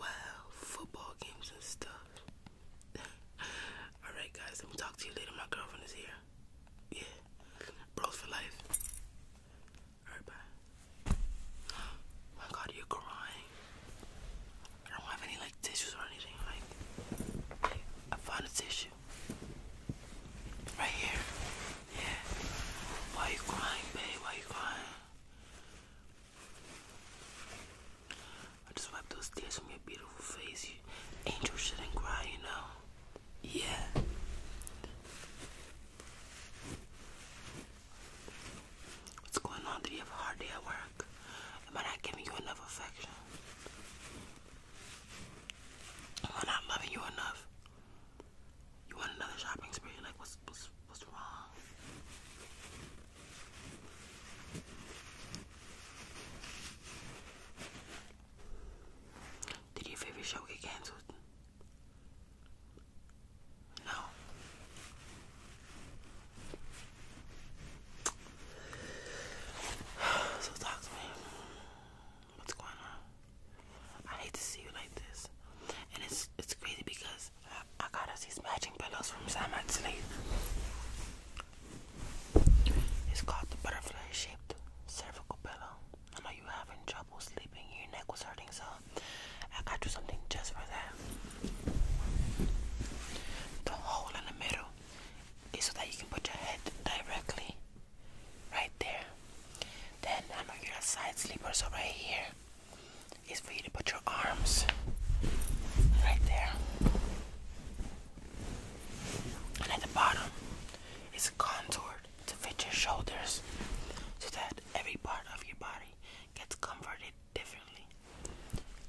well, football games and stuff. Alright, guys, let me talk to you later. My girlfriend is here. Yeah, bros for life. Alright, bye. my god, you're crying. I don't have any like tissues or anything. like I found a tissue right here. Yeah. Why are you crying, babe? Why are you crying? I just wiped those tears from your beautiful face. You, angel shouldn't cry, you know. Yeah. What's going on? Did you have a hard day at work? Am I not giving you enough affection? Am I not loving you enough? You want another shopping spree? Like, what's what's what's wrong? Did your favorite show get canceled? No. So talk to me. What's going on? I hate to see you like this. And it's it's crazy because I, got us these matching pillows from Samat Sleep. It's called the butterfly shaped cervical pillow. I know you having trouble sleeping, your neck was hurting, so I got you something just for that. The hole in the middle is so that you can put your head directly right there. Then I know you're a side sleeper, so right here is for you to put your arms right there. And at the bottom is contoured to fit your shoulders so that every part of your body gets comforted differently.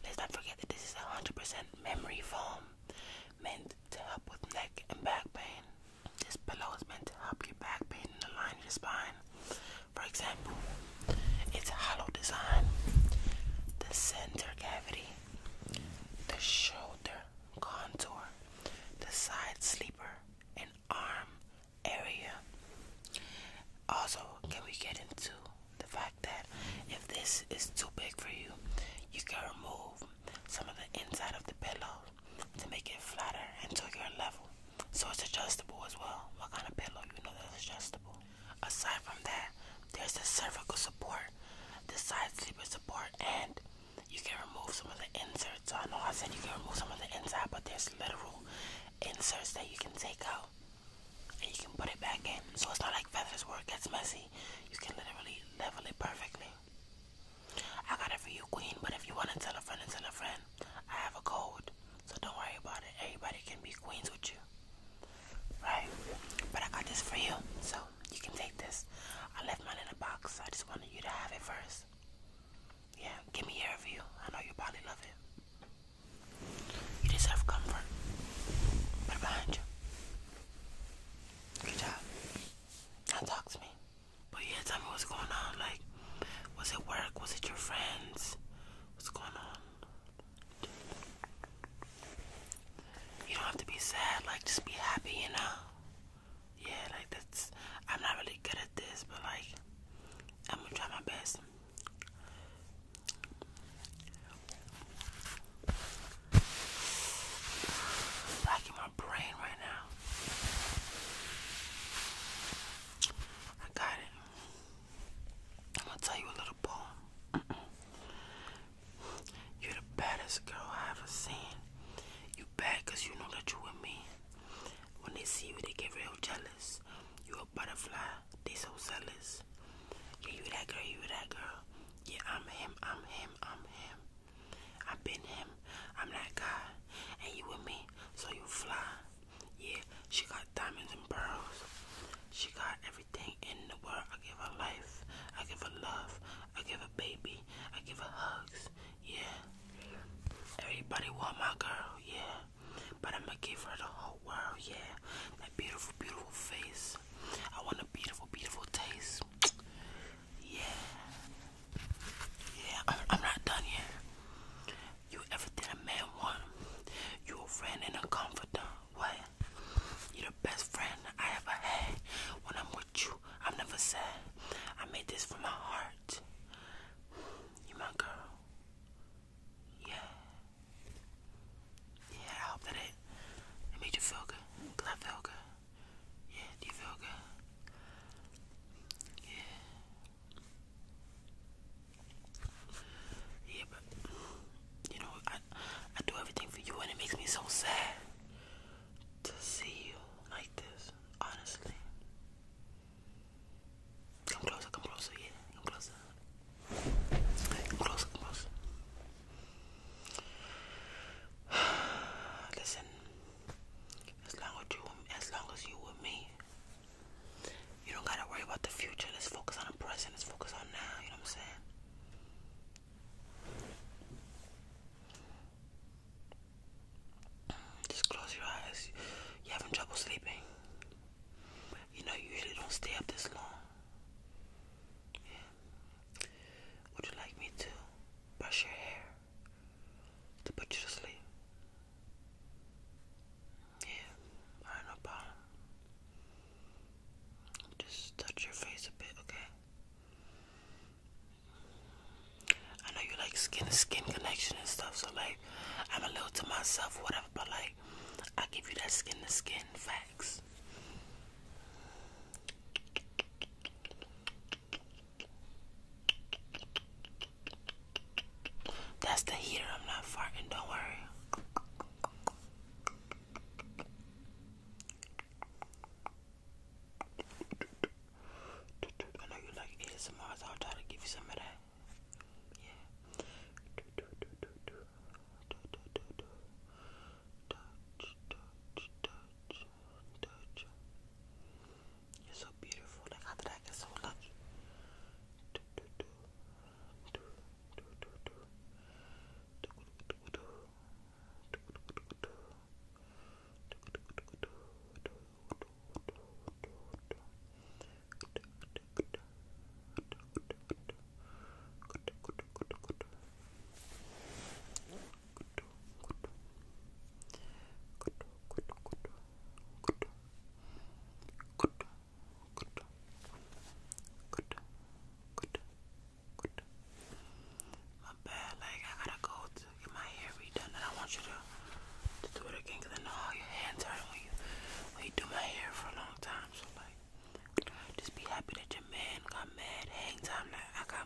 Let's not forget that this is 100% memory foam meant to help with neck and back pain. This pillow is meant to help your back pain and align your spine. For example, its hollow design, the center cavity, the shoulder contour, the side sleeper, and arm area. Also, can we get into the fact that if this is too big for you, you can remove some of the inside of the pillow to make it flatter and to your level. So it's adjustable as well. What kind of pillow? You know that's adjustable. Aside from that, there's the cervical support, the side sleeper support, and you can remove some of the inserts. So I know I said you can remove some of the inside, but there's literal inserts that you can take out and you can put it back in. So it's not like feathers where it gets messy. You can literally level it perfectly. I got it for you, Queen, but if you want to tell a friend tell a friend, I have a code. So don't worry about it. Everybody can be queens with you. Right? But I got this for you. So you can take this. I left mine in a box. I just wanted you to have it first. Yeah, give me your review. I know you probably love it. You deserve comfort. Put it behind you. Good job. Now talk to me. But yeah, tell me what's going on. Like, was it work? Was it your friends? What's going on? You don't have to be sad. Like, just be happy, you know? Yeah, like that's. I'm not really good at this, but like, I'm gonna try my best. Lacking my brain right now. I got it. I'm gonna tell you a little poem. You're the baddest girl I ever seen. You bad you know that you with me. When they see you, they get real jealous. You a butterfly, they so zealous. Yeah, you that girl, you that girl. Yeah, I'm him, I'm him, I'm him. I've been him. I'm that guy. And you with me, so you fly. Yeah, she got diamonds and pearls. She got everything in the world. I give her life. I give her love. I give her baby. I give her hugs. Yeah. Everybody want my girl. Yeah. But I'ma give her the whole world. Yeah. That beautiful, beautiful face. I want a beautiful, beautiful taste. Yeah. Yeah, I'm, not done yet. You everything a man want. You a friend and a comforter. What? you the best friend I ever had. When I'm with you, I'm never sad. I made this from my heart. You my girl. Yeah. Yeah, I hope that it, it made you feel good. Cause I feel good. Yeah, you know, I I do everything for you and it makes me so sad to see you like this, honestly. Come closer, come closer, yeah, come closer. Come closer, come closer. Listen, as long as you, as long as you with me, you don't gotta worry about the future. Let's focus on the present. Let's focus on now. You know what I'm saying? Just close your eyes. You're having trouble sleeping. You know, you usually don't stay up this long. Would you like me to brush your hair? to put you to sleep. Yeah, I ain't no Just touch your face a bit, okay? I know you like skin to skin connection and stuff, so like, I'm a little to myself, whatever, but like, I give you that skin to skin facts. That's the heater. I'm not farting. Don't worry. I know you like ASMR, I'll try to give you some of that. Yeah. You're so beautiful. Like, how did I get so lucky? My bad, like I gotta go to get my hair redone, and I want you to, do it again because I know how your hands are when you when you do my hair for a long time. So like, just be happy that your man got mad hang time. Like I got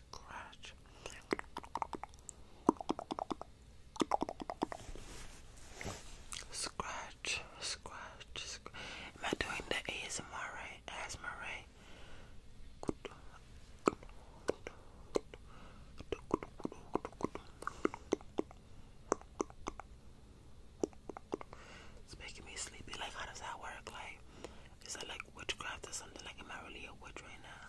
scratch. Scratch, scratch, Am I doing the ASMR right? ASMR It's making me sleepy. Like, how does that work? Like, is that like witchcraft or something? Like, am I really a witch right now?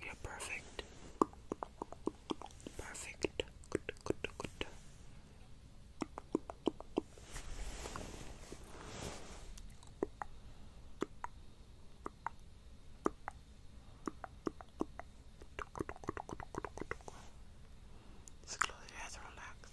you perfect. Perfect. Good, good, good. Just close your eyes and relax.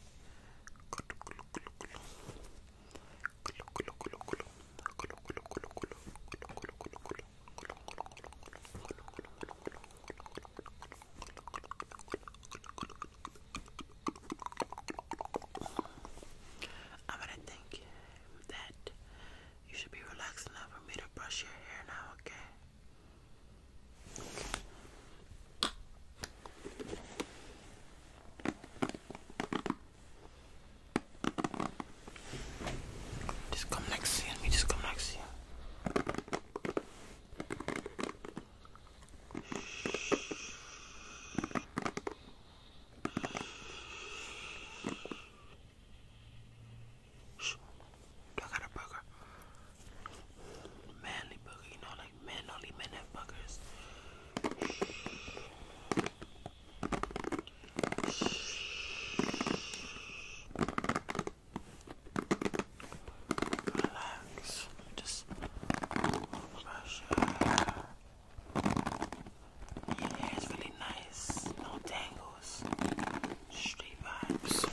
I'm gonna think that you should be relaxed enough for me to brush your hair now, okay? okay. Just come next year. Me just come next here. Do I got a burger? Manly burger, you know, like men only men have burgers. Relax. Just brush Your hair is really nice. No tangles. Straight vibes.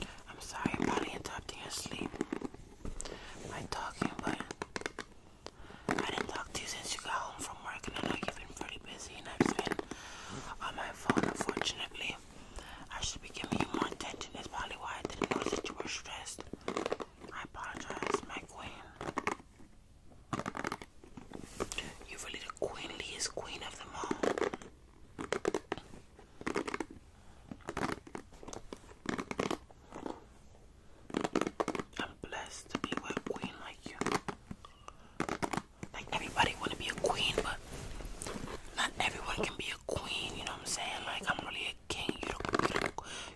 I'm sorry I'm probably interrupting your sleep by talking, but I didn't talk to you since you got home from. I have been pretty busy and I've been on my phone unfortunately. I should be giving you more attention. That's probably why I didn't know you were stressed. I apologize, my queen. You're really the queenliest queen of them all. I'm blessed to be with a queen like you. Like everybody wanna be a queen, but not everyone can be a queen, you know what I'm saying? Like I'm really a king, you the,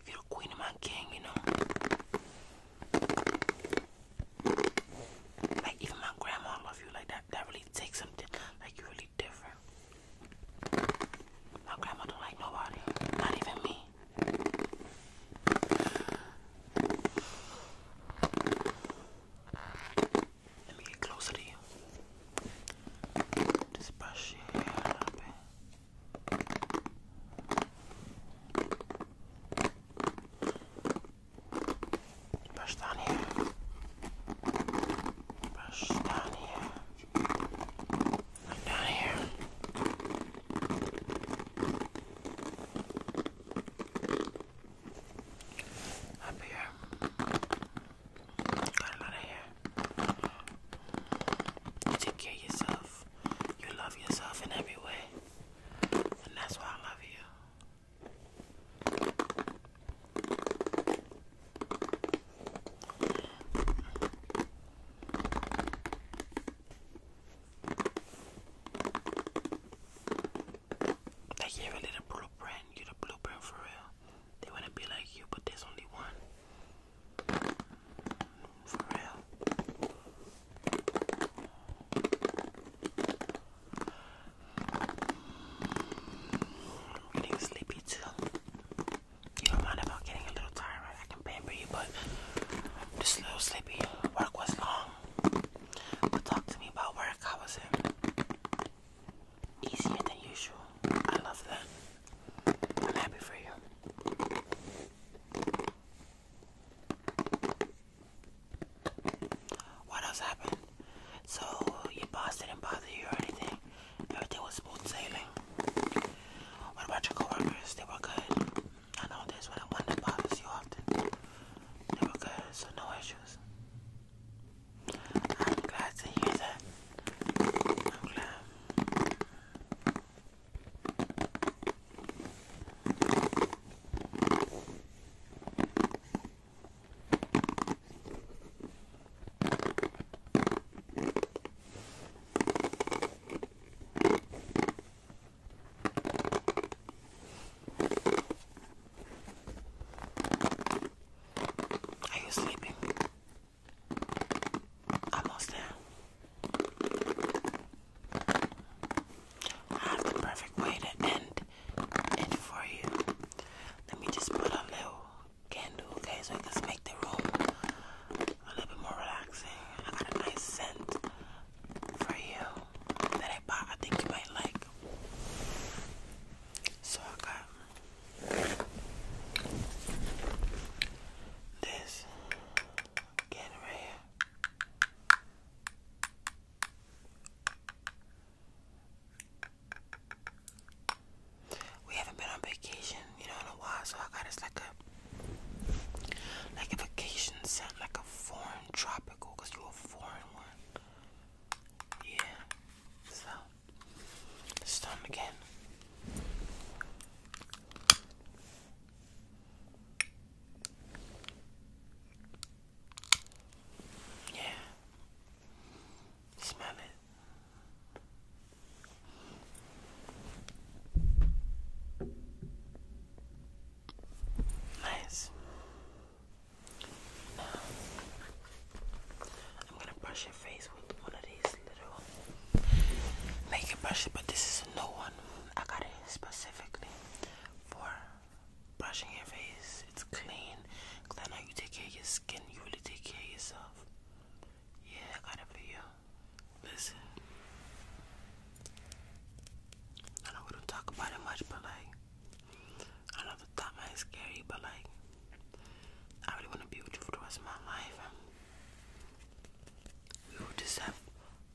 you the queen of my king, you know. Like even my grandma love you like that that really takes something like you're really different. My grandma don't like nobody, not even me. Let me get closer to you. Just brush your hair a little bit. Brush down here. Brush down here. And down here. Up here. Got a of here. Take care of yourself. You love yourself in every way. And that's why I love you. Like you really the blueprint, you the blueprint for real. They wanna be like you, but there's only one. For real. I'm getting sleepy too. You don't mind about getting a little tired, I can pamper you, but just a little sleepy. Work was long. But talk to me about work. How was it? Easier than usual. I love that. I'm happy for you. What else happened? So your boss didn't bother you or anything. Everything was smooth sailing. What about your coworkers? They were good. I know that's what I wanted to bother you often. They were good, so no issues. I'm glad to hear that. I'm glad. Are you sleeping? Almost there. I have the perfect way to end it for you. Let me just put a little candle, okay, so it can make the room a little bit more relaxing. nice scent for you that I bought. I think you might like. So I got this again right We haven't been on vacation, you know, in a while, so I got us like a like a vacation sound like a foreign tropical because you're a foreign one. Yeah. So let again. Yeah. Smell it. Nice. I'm gonna brush your face with one of these little makeup brushes, but this is a new one. I got it specifically for brushing your face. It's clean. Cause you take care your skin. You really take care yourself. Yeah, I got it for you. Listen. I know we don't talk about it much, but like, I know the thought might scary, but like, I really want to be with you for the rest of my life. We will just have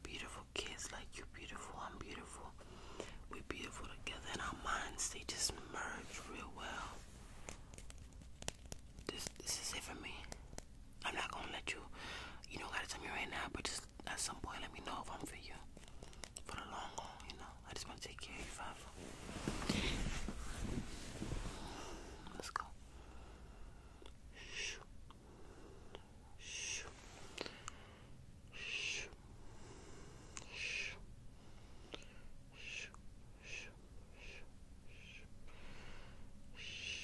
beautiful kids, like you beautiful, I'm beautiful. We're beautiful together, and our minds they just merge real well. This this is it for me. I'm not gonna let you, you know, gotta tell me right now, but just at some point, let me know if I'm for you for the long haul. You know, I just wanna take care of you forever. Let's go. Shoo. Shoo. Shoo. Shoo. Shoo. Shoo. Shoo. Shoo. Shoo.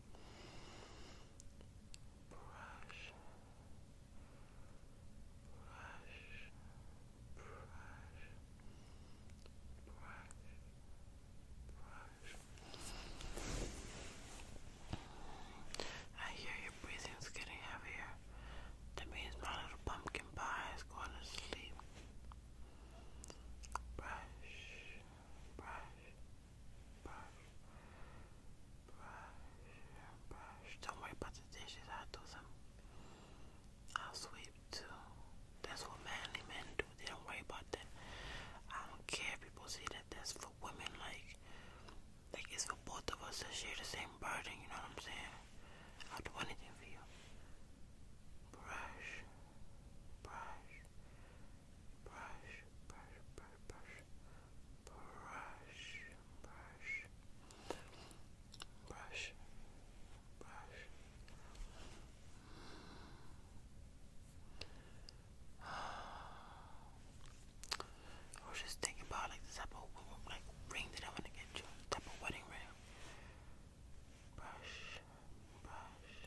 brush, brush, brush, brush, brush. I hear your breathing's getting heavier. That means my little pumpkin pie is going to sleep. Brush, brush, brush, brush, brush. Don't worry about the dishes. i do some. i sweep too. That's what manly men do. They don't worry about that. I don't care people see that. That's for women. Like, like it's for both of us to share the same burden. You know what I'm saying? i do anything for you. Brush, brush, brush, brush, brush, brush, brush, brush, brush, brush. I was just thinking about like the type of like ring that I want to get you, type of wedding ring. Brush, brush, brush,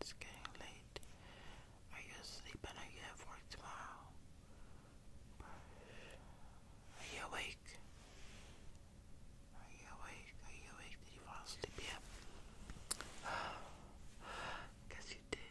it's getting late. Are you asleep and are you at work tomorrow? Are you awake? Are you awake? Are you awake? Did you fall asleep Guess you did.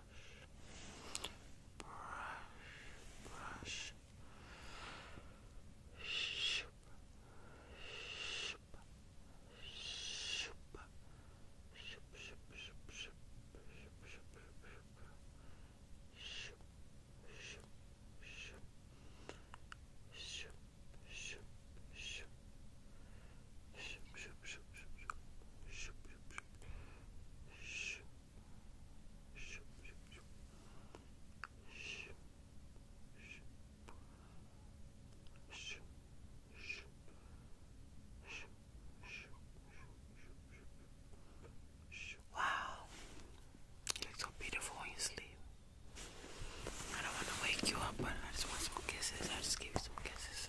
brush, shoop, shoop, shoop, shoop, shoop, shoop, shoop, shoop, shoop, shoop, shoop, shoop, shoop, shoop, shoop, shoop, shoop, shoop, Wow, you look so beautiful when you sleep. I don't want to wake you up, but I just want some kisses. I just give you some kisses.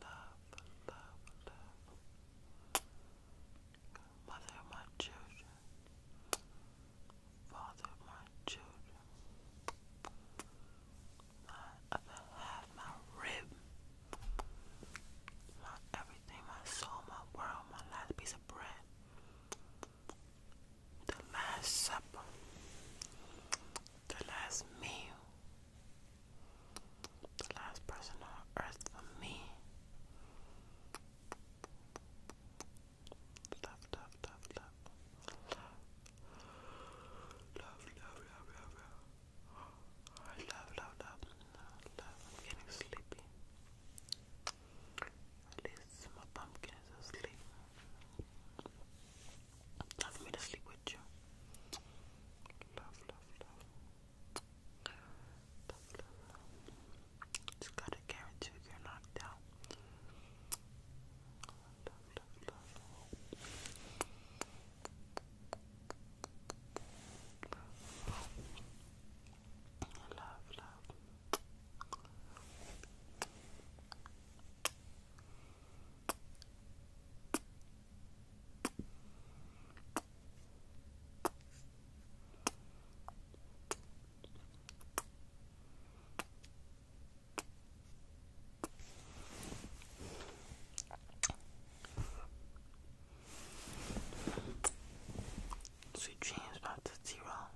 love, love, love. Mother of my children, father of my children, my other my rib, my everything, my soul, my world, my last piece of bread, the last supper, the last meal. The last person on earth for me. Love, love, love, love. Love, love, love, love, I love, love, love, love, love. getting sleepy. At least my pumpkin is asleep. Love me to sleep with you. Love, love, love. Just gotta guarantee you're knocked out. love. Love, Sweet dreams, Doctor Zero.